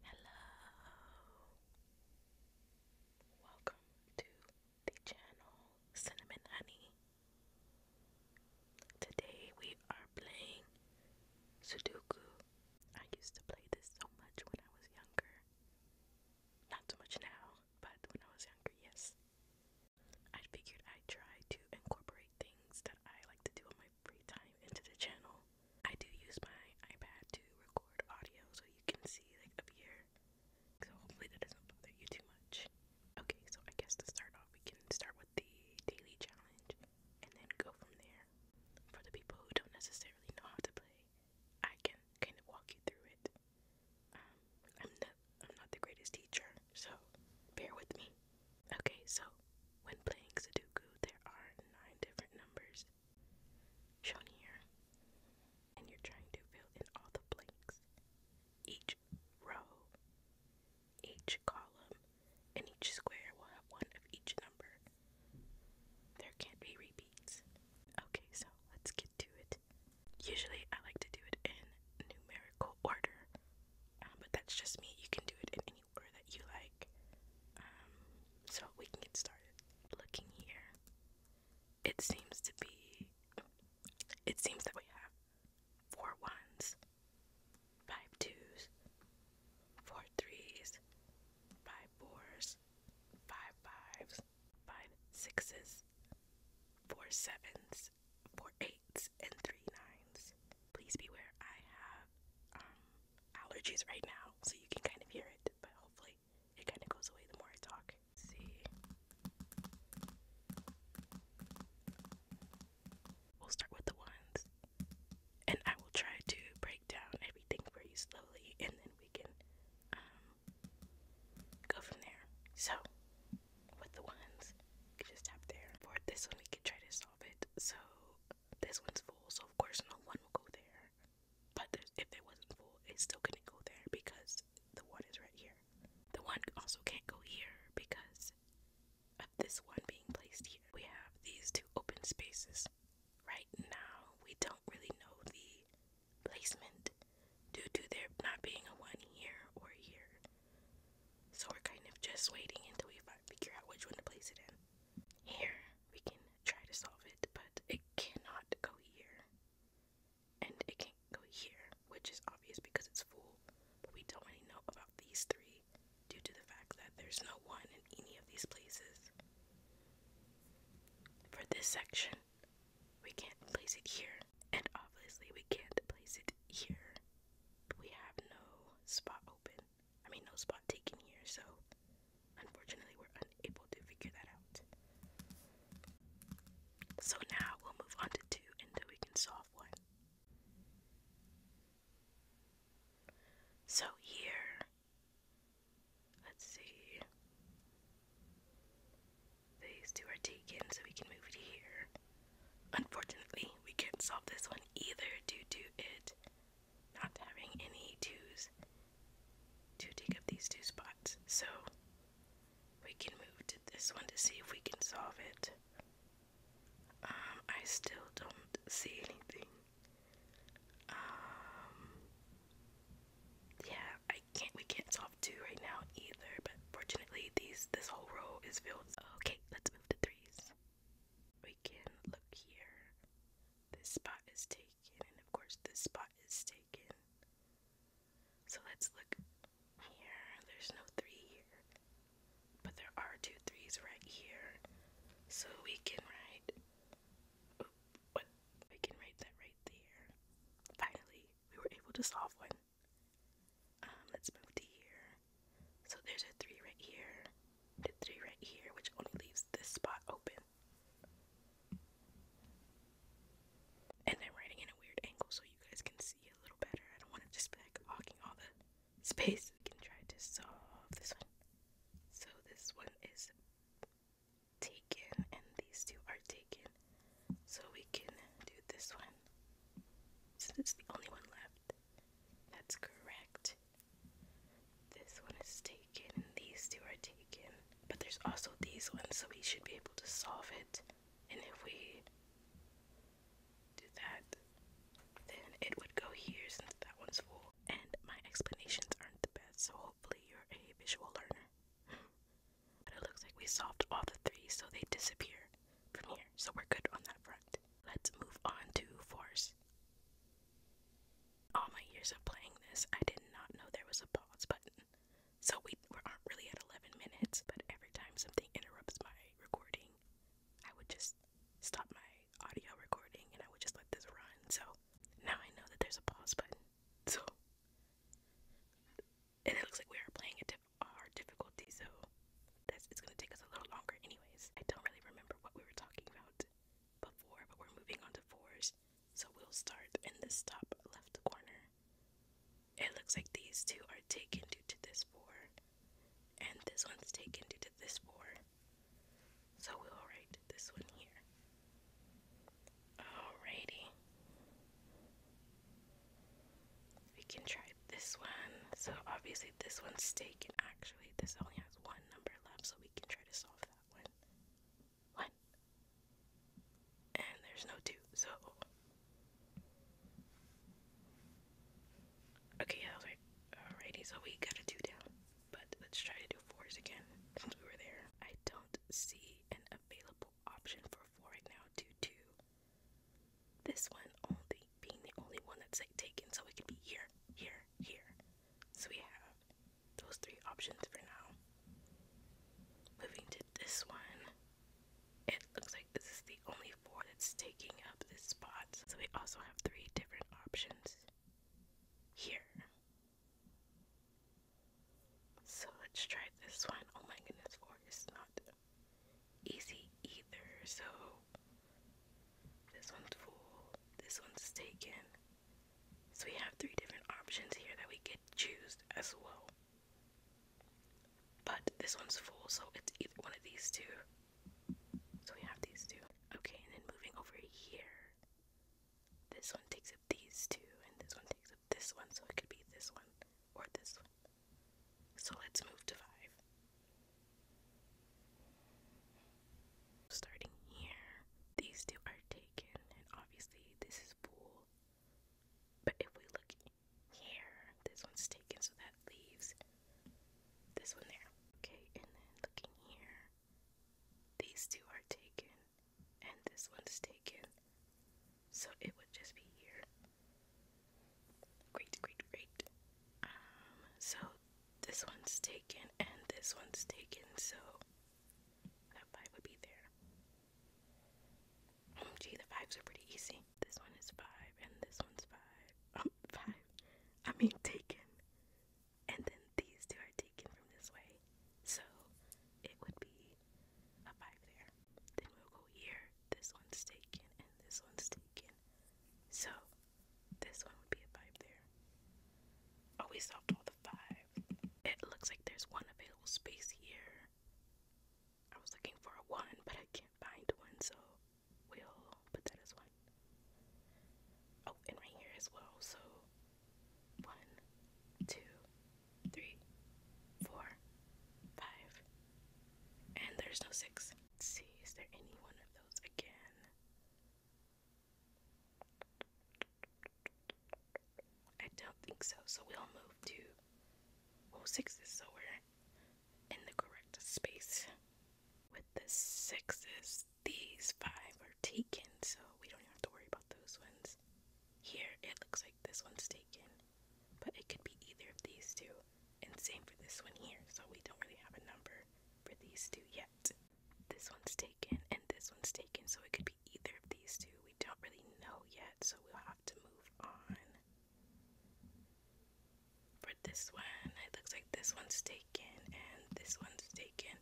Hello. Welcome to the channel Cinnamon Honey. Today we are playing Sudoku. I used to play this so much when I was younger. Not so much now, but when I was younger, yes. I figured I'd try to incorporate things that I like to do on my free time into the channel. I do use my iPad to record audio so you can see like up here. So hopefully that doesn't bother you too much. Okay, so I guess to start off we can start with the daily challenge and then go from there. For the people who don't necessarily know how to play, I can kind of walk you through it. Um, I'm not I'm not the greatest teacher, so bear with me. Okay, so when playing Sudoku, there are nine different numbers shown here, and you're trying to fill in all the blanks, each row, each column, and each square will have one of each number. There can't be repeats. Okay, so let's get to it. Usually I like to do it in numerical order, um, but that's just me. You can do it in any or that you like. Um, so we can get started. Looking here, it seems to be. It seems that we have four ones, five twos, four threes, five fours, five fives, five sixes, four sevens, four eights, and three nines. Please beware, I have um, allergies right now, so you can kind of hear it, but hopefully it kind of goes away the more I talk. see. We'll start with the ones, and I will try to break down everything for you slowly, and then we can um, go from there. So, with the ones, just tap there. For this one, we can try to solve it. So, this one's full, so of course, no one will go there. But if it wasn't full, it still gonna go there because the one is right here. The one also can't go here because of this one being placed here. We have these two open spaces. Right now, we don't really know the placement due to there not being a one here or here. So we're kind of just waiting until we figure out which one to place it in. Here we can try to solve it, but it cannot go here. And it can't go here, which is obvious because it's full. But we don't really know about these three due to the fact that there's no one in any of these places. For this section, we can't place it here. And obviously, we can't place it here. We have no spot open. I mean, no spot taken here, so unfortunately, we're unable to figure that out. So now we'll move on to 2 until we can solve 1. So here, let's see, these two are taken, so we can move it here. Unfortunately, we can't solve this one either due to it not having any twos to take up these two spots. So we can move to this one to see if we can solve it. Um, I still don't see anything. Um, yeah, I can't. We can't solve two right now either. But fortunately, these this whole row is filled. Okay, let's move to threes. We can look here. This spot is taken and of course, this spot is taken. So let's look here. There's no three here, but there are two threes right here. So we can write. Oh, what? We can write that right there. Finally, we were able to solve one. Um, let's move to here. So there's a three right here, the three right here, which only leaves this spot open. And I'm writing in a weird angle so you guys can see a little better. I don't want to just be like hogging all the space. We can try to solve this one. So this one is taken and these two are taken. So we can do this one. Since it's the only one left. That's correct. This one is taken and these two are taken. But there's also these ones, so we should be able to solve it. And if we do that, then it would go here since that one's full. And my explanations aren't the best, so hopefully you're a visual learner. but it looks like we solved all the three, so they disappear from here. So we're good on that front. Let's move on to force all my years of playing this, I did not know there was a pause button. So we, aren't really at 11 minutes, but every time something interrupts my recording, I would just stop my audio recording and I would just let this run. So now I know that there's a pause button. So, and it looks like we are playing a diff hard difficulty, so that's, it's going to take us a little longer, anyways. I don't really remember what we were talking about before, but we're moving on to fours. So we'll start in this top left corner. It looks like these two are taken due to this 4, and this one's taken due to this 4. So we'll write this one here. Alrighty. We can try this one. So obviously this one's taken. Actually, this only has one number left, so we can try to solve that one one. And there's no two, so. Okay, yeah, I was so we got a two down. But let's try to do fours again since we were there. I don't see an available option for four right now Two two. this one only being the only one that's like taken, so it could be here, here, here. So we have those three options for now. Moving to this one, it looks like this is the only four that's taking up this spot. So we also have three different options here. So let's try this one. Oh my goodness, four is not easy either. So this one's full, this one's taken. So we have three different options here that we get to choose as well. But this one's full, so it's either one of these two. So we have these two. Okay, and then moving over here, this one takes up these two, and this one takes up this one, so it could be this one or this one. So let's move to five. Starting here, these two are taken, and obviously this is full. But if we look here, this one's taken, so that leaves this one there. Okay, and then looking here, these two are taken, and this one's taken. So it would just be here. Great, great, great. Um, so this one's taken, and this one's taken, so that five would be there. gee, the fives are pretty easy. This one is five, and this one's five. Oh, five. I mean, taken. And then these two are taken from this way. So it would be a five there. Then we'll go here. This one's taken, and this one's taken. So this one would be a five there. Oh, we solved all the five. It looks like there's one available space here. I was looking for a one, but I can't find one, so we'll put that as one. Oh, and right here as well, so one, two, three, four, five. And there's no 6 see, is there any one of those again? I don't think so. So we'll move to well sixes, so we're in the correct space. With the sixes, these five are taken, so we don't have to worry about those ones. Here it looks like this one's taken, but it could be either of these two. And same for this one here, so we don't really have a number for these two yet this one's taken and this one's taken, so it could be either of these two. We don't really know yet, so we'll have to move on. For this one, it looks like this one's taken and this one's taken,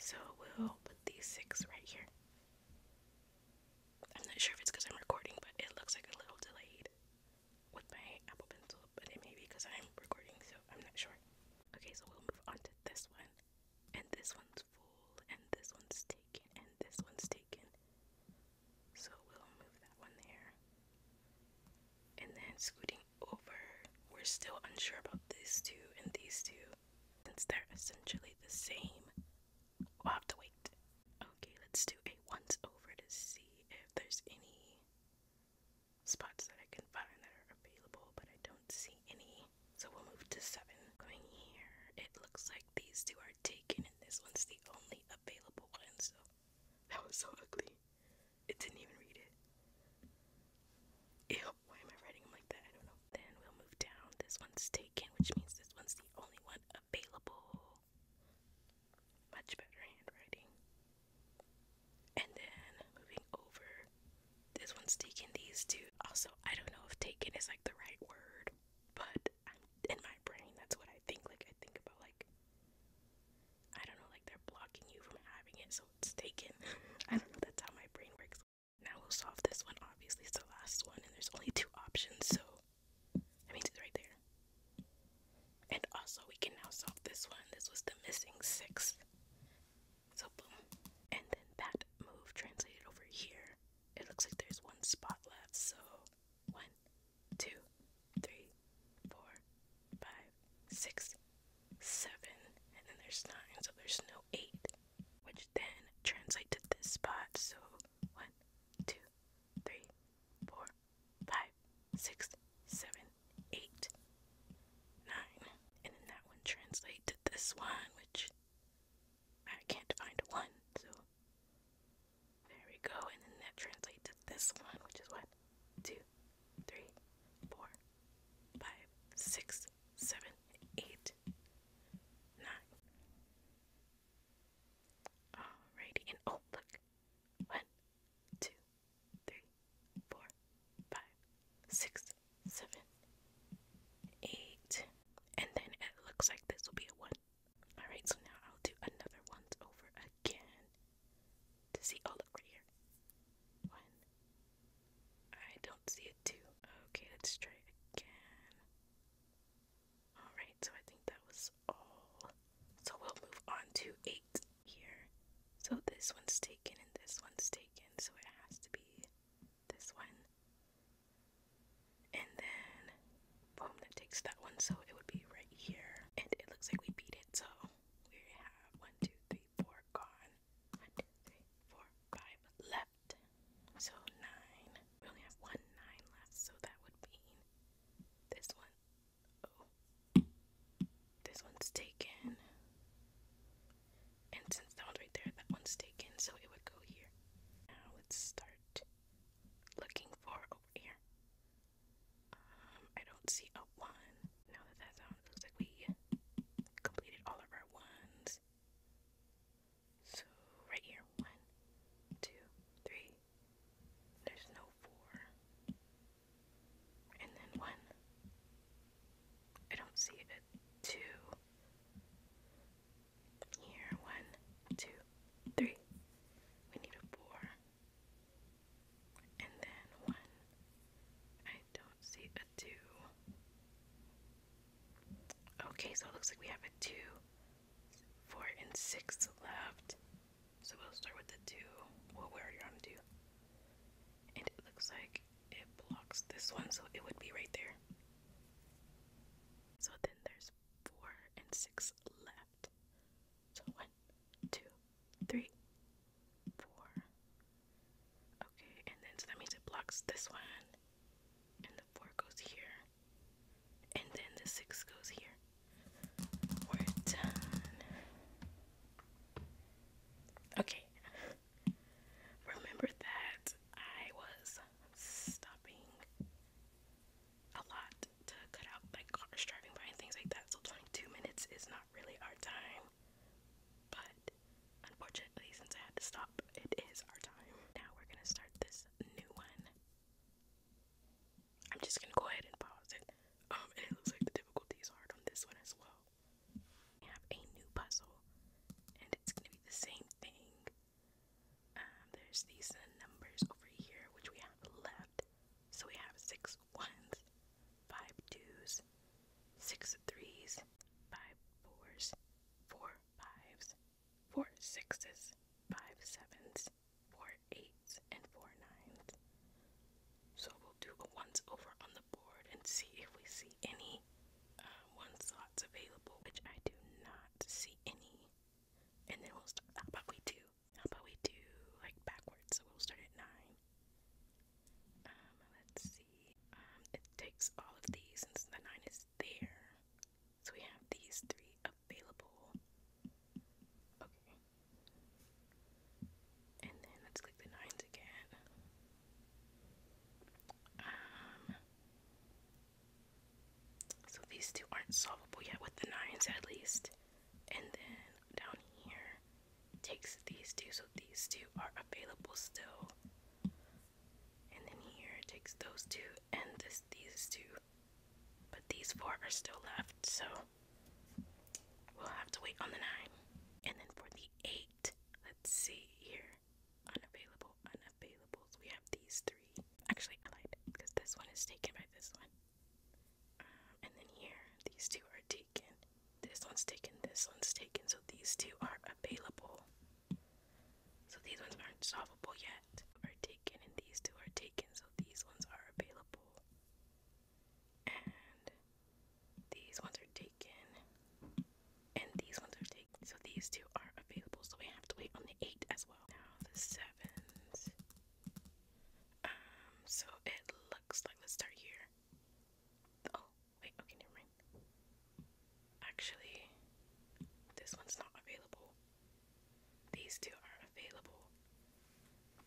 so we'll put these six right here. I'm not sure if it's because I'm recording, but it looks like a little delayed with my Apple Pencil, but it may be because I'm recording, so I'm not sure. Okay, so we'll move on to this one and this one's full, and this one's taken, and this one's taken. So we'll move that one there. And then scooting over, we're still unsure about these two and these two. Since they're essentially the same, we'll have to wait. Okay, let's do a once over to see if there's any spots that I can find that are available, but I don't see any. So we'll move to seven. Coming here, it looks like these two are taken, and this one's the only available one. So that was so ugly. It didn't even read it. Ew, why am I writing like that? I don't know. Then we'll move down. This one's taken, which means this one's the only one available. Much better handwriting. And then moving over, this one's taken these two. Also, I don't know if taken is like the right word, but I'm, in my brain, that's what I think. Like, I think about like, I don't know, like they're blocking you from having it, so it's taken. I don't know, that's how my brain works. Now we'll solve this one. Obviously, it's the last one, and there's only two options, so I mean, it's right there. And also, we can now solve this one. This was the missing sixth. So boom. And then that move translated over here. It looks like there's one spot left. So one, two, three, four, five, six, seven. And then there's nine. So there's no eight. Which then translates to this spot. So one, two, three, four, five, six, seven, eight, nine. And then that one translates to this one, which I can't find one, so there we go, and then that translates to this one, which is what? Alrighty, and oh look. One, two, three, four, five, six, six, seven, eight, and then it looks like this will be a one. Alright, so now I'll do another once over again to see. Oh, look here. One. I don't see a two. Okay, let's try again. Alright, so I think that was all. So we'll move on to eight here. So this one's taken and this one's taken, so it has to be this one. And then, boom, that takes that one. So it would be right here. And it looks like we beat it. So we have one, two, three, four gone. One, two, three, four, five left. So nine. We only have one nine left. So that would mean this one. Oh. This one's taken. And since that one's right there, that one's taken, so it would go here. Now let's start looking for over here. Um, I don't see a one. Now that that's on, it looks like we completed all of our ones. So right here, one, two, three. There's no four. And then one. I don't see a two. Here, one, two, three. We need a four. And then one. I don't see a two. Okay, so it looks like we have a two, four, and six left. So we'll start with the two. Well, we're already on two. And it looks like it blocks this one, so it would be right there. So then there's four and six left. So one, two, three, four. Okay, and then so that means it blocks this one, and the four goes here, and then the six goes here. We're done. Okay, remember that I was stopping a lot to cut out like cars driving by and things like that. So 22 minutes is not really our time, but unfortunately, since I had to stop, it is our time. Now we're gonna start this new one. I'm just gonna go ahead and pause it. Um, it looks like the difficulty is hard on this one as well. We have a new puzzle, and it's gonna be the same thing. Um, there's these uh, numbers over here which we have left. So we have six ones, five twos, six threes, five fours, four fives, four sixes, five sevens, four eights, and four nines. So we'll do a once over on the board and see if we see any um, one slots available, which I do not see any. And then we'll start. How about we do? How about we do like backwards? So we'll start at nine. Um, let's see. Um, it takes all of these since the nine is there. So we have these three available. Okay. And then let's click the nines again. Um, so these two aren't solvable yet with the nines at least. And then down here takes these two, so these two are available still. And then here takes those two and this these two. But these four are still left, so we'll have to wait on the nine. And then for the eight, let's see here unavailable, unavailables. We have these three. Actually, I lied because this one is taken by this one. Um, and then here, these two are taken. This one's taken, this one's taken. So these two are available. So these ones aren't solvable yet. Are taken, and these two are taken. So these ones are available. And these ones are taken. And these ones are taken. So these two are available, so we have to wait on the eight as well. Now the sevens. Um, so it looks like let's start here. Oh, wait, okay, never mind. Actually, this one's not available. These two are available.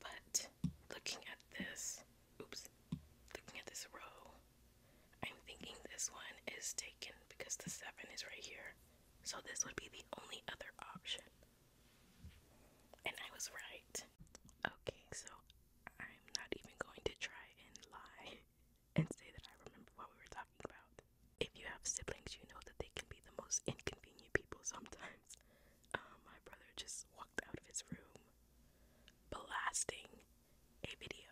But looking at this oops, looking at this row, I'm thinking this one is taken because the 7 is right here. So this would be the only other option. And I was right. Okay, so I'm not even going to try and lie and say that I remember what we were talking about. If you have siblings, you know that they can be the most inconvenient people sometimes. Uh, my brother just walked out of his room blasting a video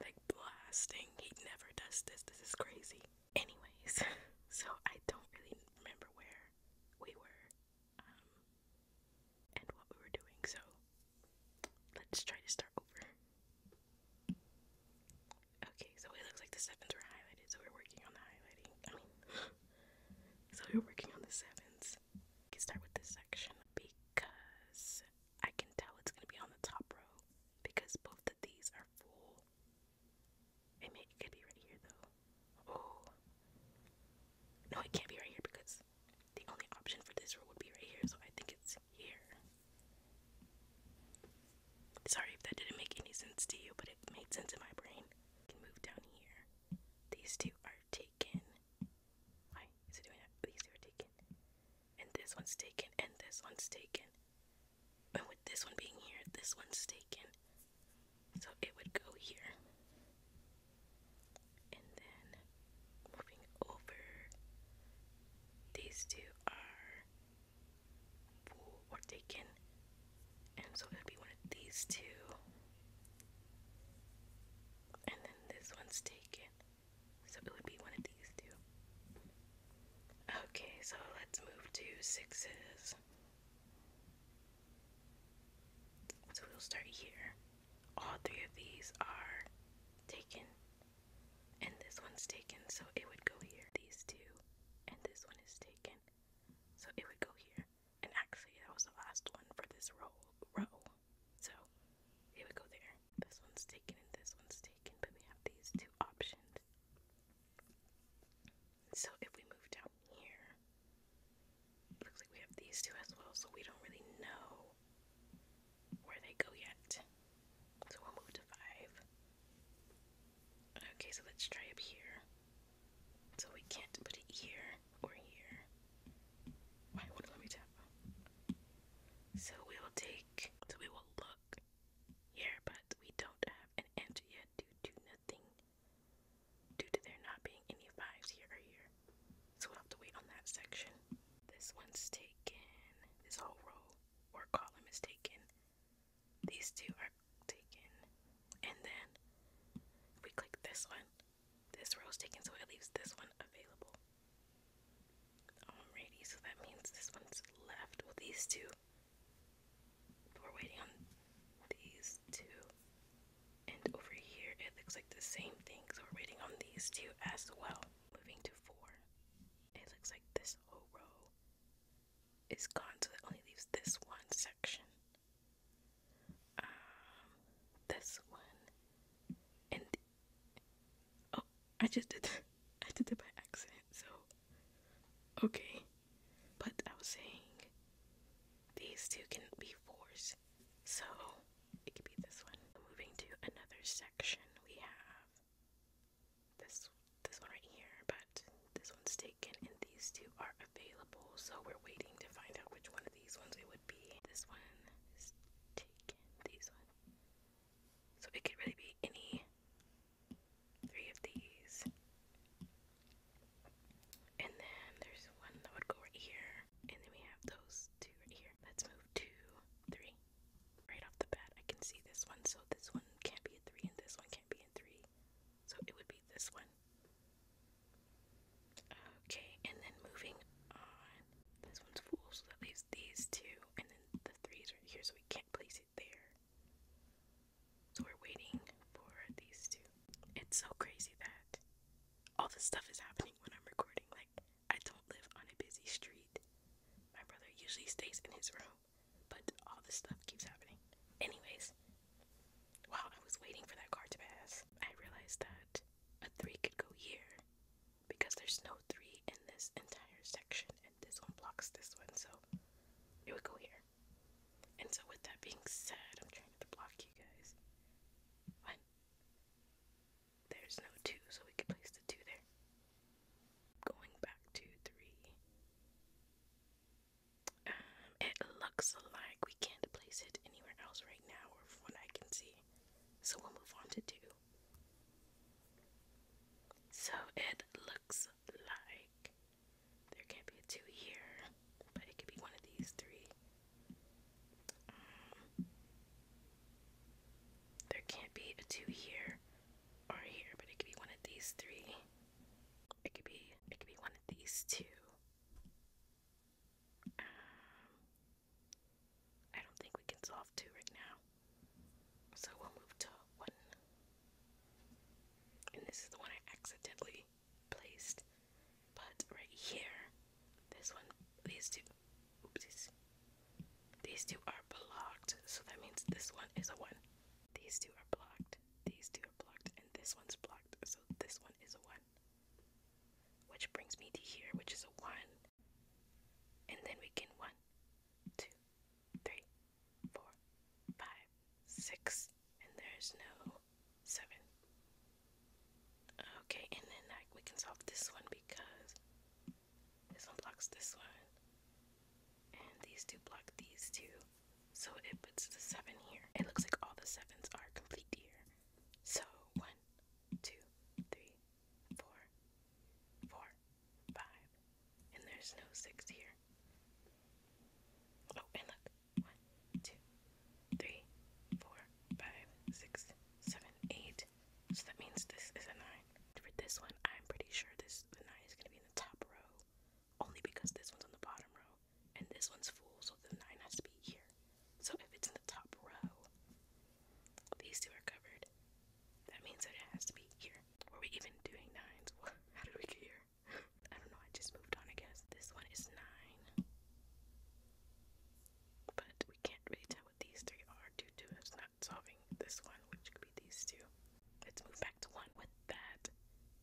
like blasting. He never does this. This is crazy. Anyways, so I don't really remember where we were um, and what we were doing. So let's try to start over. Okay, so it looks like the sevens were highlighted, so we're working on the highlighting. I mean, so we're working on the sevens. let Let's start with this section because I can tell it's going to be on the top row because both of these are full. It, may, it could be right here though. Oh. No, it can't be right here because the only option for this row would be right here, so I think it's here. Sorry if that didn't make any sense to you, but it made sense in my brain. can move down here. These two are taken. Why is it doing that? These two are taken. And this one's taken. And this one's taken. And with this one being here, this one's taken. So it would go here. And then moving over, these two are or taken. And so it would be one of these two. And then this one's taken. So it would be one of these two. Okay, so let's move to sixes. So we'll start here. All three of these are taken, and this one's taken, so it would go here. These two, and this one is taken, so it would go here. And actually, that was the last one for this row. row. So it would go there. This one's taken and this one's taken, but we have these two options. So if we move down here, looks like we have these two as well, so we don't really know where they go yet. So we'll move to five. Okay, so let's try up here. So we can't put it here or here. So we will take. So we will look here, but we don't have an answer yet due to nothing. Due to there not being any fives here or here. So we have to wait on that section. This one's taken. This whole row or column is taken. These two are taken. And then we click this one, this row is taken, so it leaves this one available. Alrighty, so that means this one's left. Well, these two. we're waiting on these two. And over here, it looks like the same thing. So we're waiting on these two as well. Moving to four. It looks like this whole row is gone, so it only leaves this one section. Um, this one and Oh, I just did that. I did that by accident, so okay. But I was saying these two can be forced. so it could be this one. Moving to another section, we have this this one right here, but this one's taken, and these two are available. So we're waiting to find out which one of these ones it would be. This one is taken. These one so it could really be any three of these. And then there's one that would go right here. And then we have those two right here. Let's move two, three. Right off the bat, I can see this one. So this one can't be a three, and this one can't be a three. So it would be this one. Okay, and then moving on. This one's full, so that leaves these two and then the threes right here, so we can't place it there. So we're waiting for these two. It's so crazy that all this stuff is happening when I'm recording. Like, I don't live on a busy street. My brother usually stays in his room, but all this stuff keeps happening. Anyways, while I was waiting for that car to pass, I realized that a three could go here because there's no three in this entire section and this one blocks this one so it would go here and so with that being said i'm trying to block you guys one there's no two so we can place the two there going back to three um it looks like we can't place it anywhere else right now or from what i can see so we'll move on to two so it looks like there can't be a two here, but it could be one of these three. Um, there can't be a two here or here, but it could be one of these three. It could be it could be one of these two. Um, I don't think we can solve two right now. So we'll move to one. And this is the one I accidentally placed. But right here, this one, these two, oopsies. These two are blocked, so that means this one is a one. These two are blocked, these two are blocked, and this one's blocked, so this one is a one. Which brings me to here, which is a one, and then we can one, two, three, four, five, six, and there's no seven. Okay, and then like we can solve this one because this one blocks this one, and these two block these two, so it puts the seven here. It looks like all the sevens are complete here. So one, one, two, three, four, four, five. And there's no six here. Oh, and look. One, two, three, four, five, six, seven, eight. So that means this is a nine. For this one, I'm pretty sure this the nine is gonna be in the top row. Only because this one's on the bottom row. And this one's full, so the nine has to be here. So if it's in the top row, these two are covered. That means that it has to be here. Are we even doing nines? How did we get here? I don't know, I just moved on, I guess. This one is nine. But we can't really tell what these three are due to us not solving this one, which could be these two. Let's move back to one with that.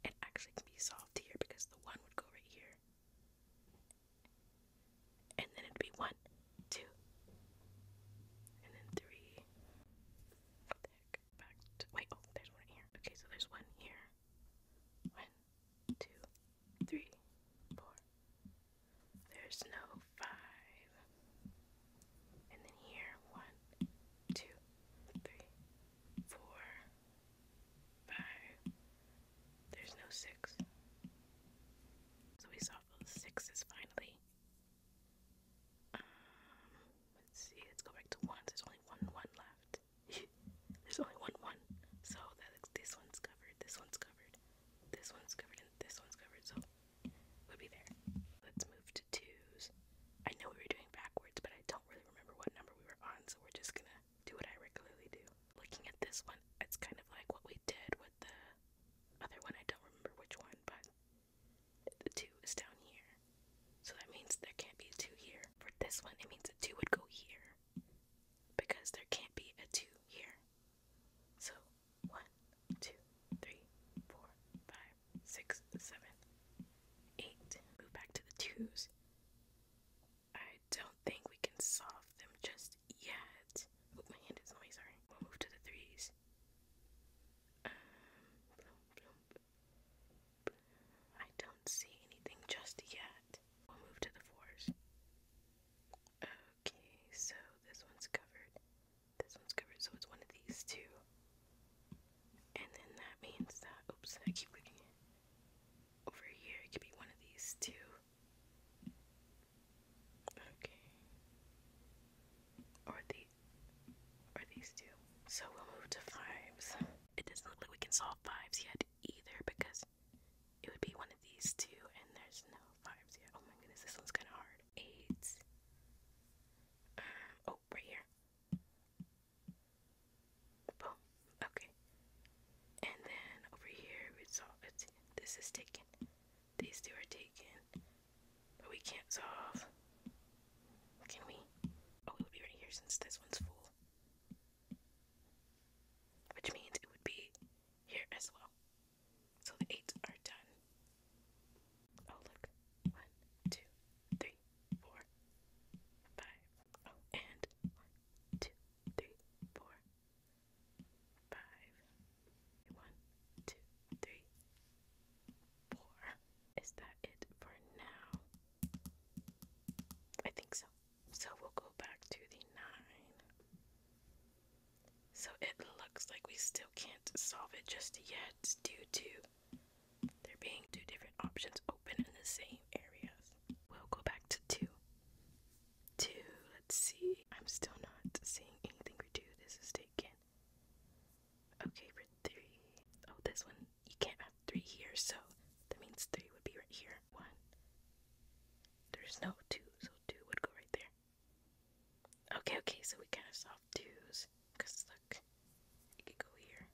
It actually can be solved here because the one would go right here and then it'd be one, two, and then three. What the heck? Back to, wait, oh, there's one here. Okay, so there's one here. One, two, three, four. There's no five. And then here, one, two, three, four, five. There's no six. So we saw those sixes finally let's see, let's go back to one. There's only one one left. There's only one one. So that this one's covered, this one's covered, this one's covered, and this one's covered. So would be there. Let's move to twos. I know we were doing backwards, but I don't really remember what number we were on, so we're just gonna do what I regularly do. Looking at this one, it's kind of like what we did with the other one, I don't remember which one, but the 2 is down here. So that means there can't be a 2 here. For this one, it means a 2 would go here because there can't be a 2 here. So 1, 2, 3, 4, 5, 6, 7, 8. Move back to the 2s. I don't think we can solve them just yet. Oh, my hand is in the oh, way, sorry. We'll move to the threes. Um, I don't see anything just yet. We'll move to the fours. Okay, so this one's covered. This one's covered, so it's one of these two. And then that means that, oops, I keep clicking it. Over here, it could be one of these two. Okay. Or the or these two. So we'll move to fives. It doesn't look like we can solve fives yet either because it would be one of these two and there's no fives yet. Oh my goodness, this one's kinda hard. Eights. Um, oh, right here. Boom. Okay. And then over here we saw it's this is taken. These two are taken. But we can't solve. Can we? Oh, it would be right here since this one's full. Which means it would be here as well. So the eights are done. Oh, look. One, two, three, four, five. Oh, and one, two, three, four, five. One, two, three, four. Is that it for now? I think so. So we'll go back to the nine. So it looks like we still can't solve it just yet due to there being two different options open in the same areas. We'll go back to two. Two, let's see. I'm still not seeing anything We do This is taken. Okay, for three. Oh, this one, you can't have three here, so that means three would be right here. One. There's no two, so two would go right there. Okay, okay, so we kind of solved twos, because look, it could go here.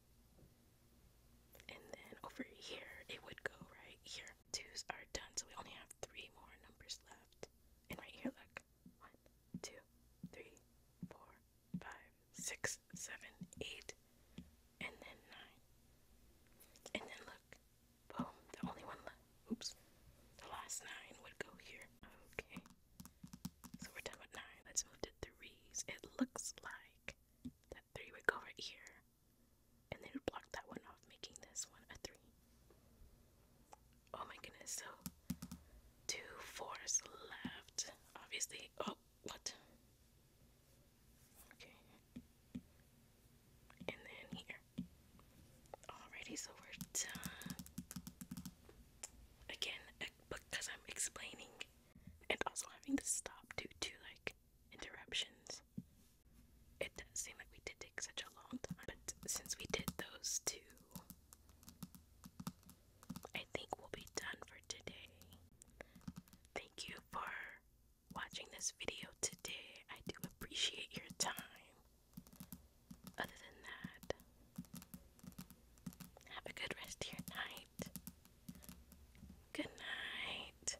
And then over here, it would go right here. Twos are done, so we only have three more numbers left. And right here, look. One, two, three, four, five, six, seven, eight, and then nine. And then look, boom, the only one left. Oops, the last nine would go here. Okay, so we're done with nine. Let's move to threes. It looks like that three would go right here, and then it would block that one off, making this one a three. Oh my goodness, so two fours left. Obviously, oh, what? Okay. And then here. Alrighty, so we're done. Again, eh, because I'm explaining and also having to stop due to like interruptions. It does seem like we did take such a long time, but since we did those two I think we'll be done for today. Thank you for watching this video today. I do appreciate your time. Other than that, have a good rest of your night. Good night.